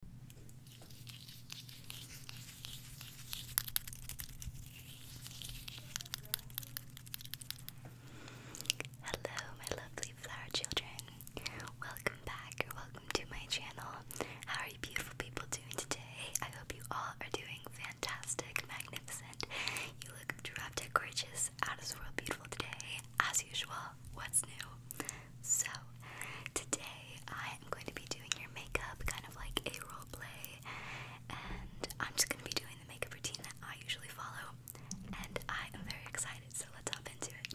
Hello, my lovely flower children. Welcome back or welcome to my channel. How are you, beautiful people, doing today? I hope you all are doing fantastic, magnificent. You look drop gorgeous, out beautiful today, as usual what's new? So, today I am going to be doing your makeup, kind of like a role play, and I'm just going to be doing the makeup routine that I usually follow, and I am very excited, so let's hop into it.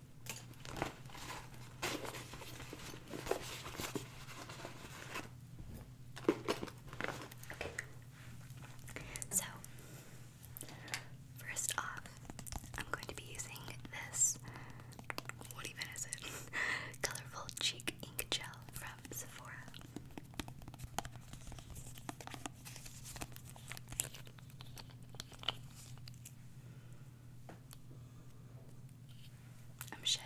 So, first off, I'm going to be using this, what even is it? Colorful Cheek Ink Gel from Sephora. I'm shedding.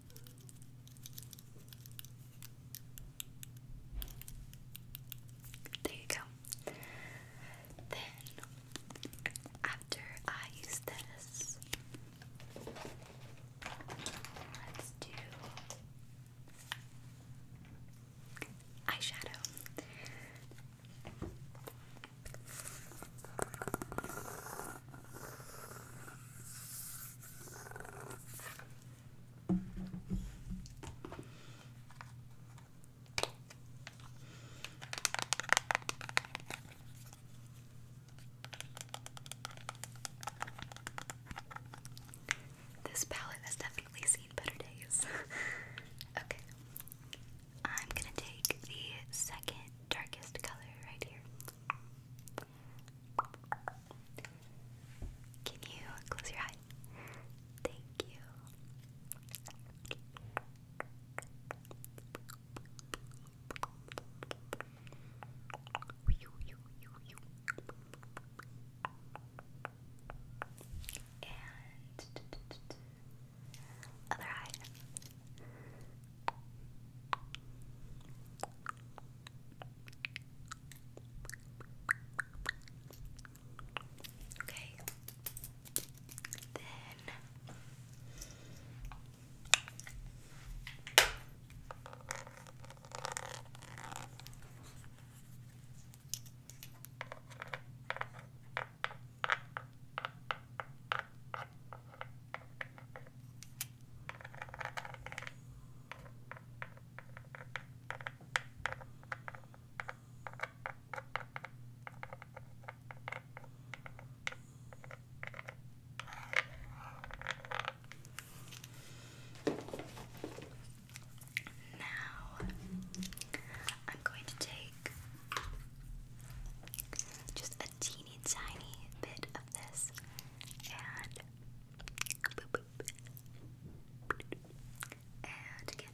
There you go. Then, after I use this, let's do eyeshadow. This palette has definitely seen better days. okay. I'm gonna take the second darkest color right here. Can you close your eyes? Thank you. And other eye. Okay. Then Okay. Now, I'm going to take just teeny tiny bit of this and And again.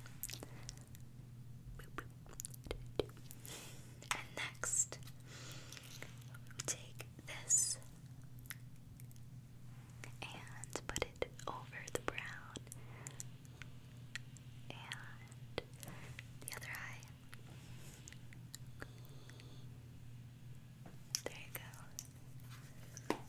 And next, take this and put it over the brown and the other eye. There you go. There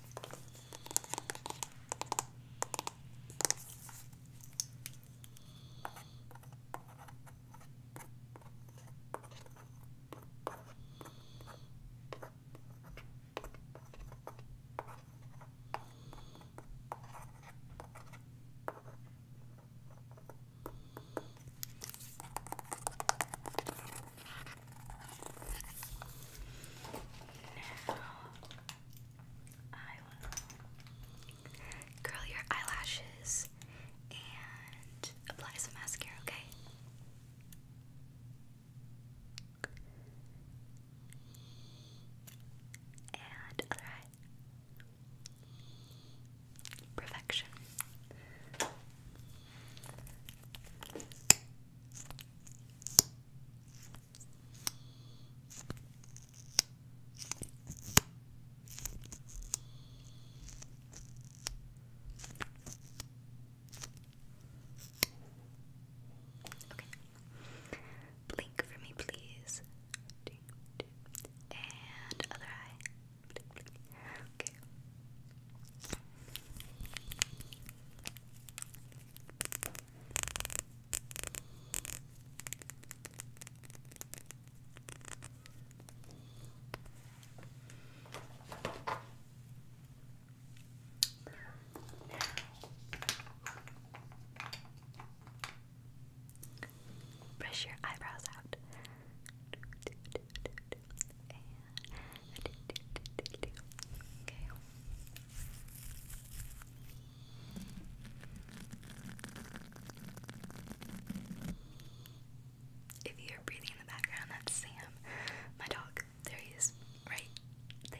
now your eyelashes and apply some mascara, okay? And other Perfection. Blink for me, please. And other eye. Brush your eyebrows out. If you're breathing in the background, that's Sam, my dog. There he is, right there.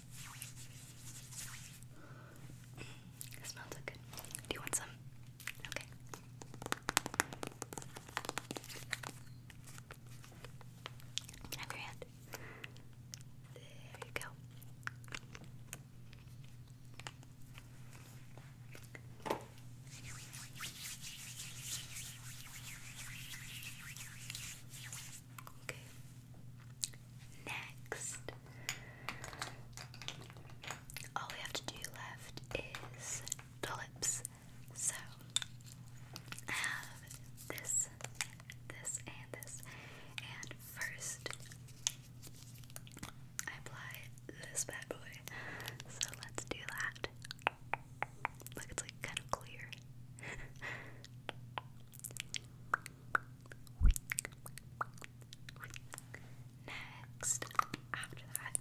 It smells so good. Do you want some? Okay. Have your hand. There you go. Okay. Next, all we have to do left is the lips. So I have this, this, and this. And first, I apply this bad boy. So let's do that. Look, like kind of clear. Next, after that,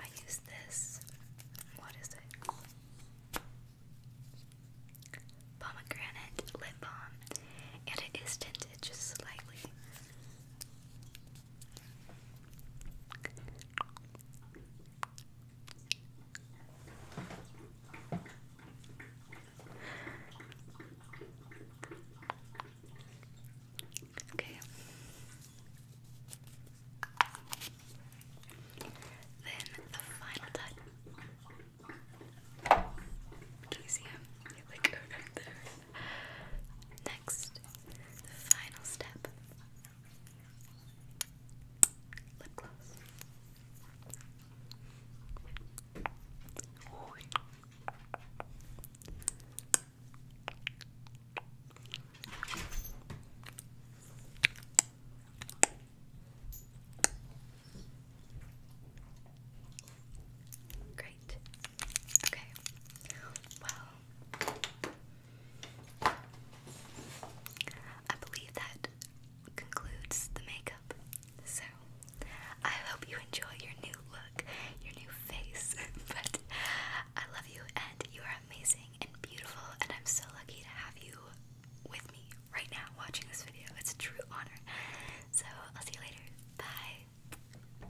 I use this. What is it? Pomegranate lip balm, and it is tinted just slightly. Okay. Then the final touch. Can you see him? You Next, the final step. Lip gloss. Great. Okay. Well, I believe that concludes the makeup. So, I hope you enjoy your new look, your new face. but I love you, and you are amazing and beautiful, and I'm so lucky to have you with me right now watching this video. It's a true honor. So, I'll see you later. Bye.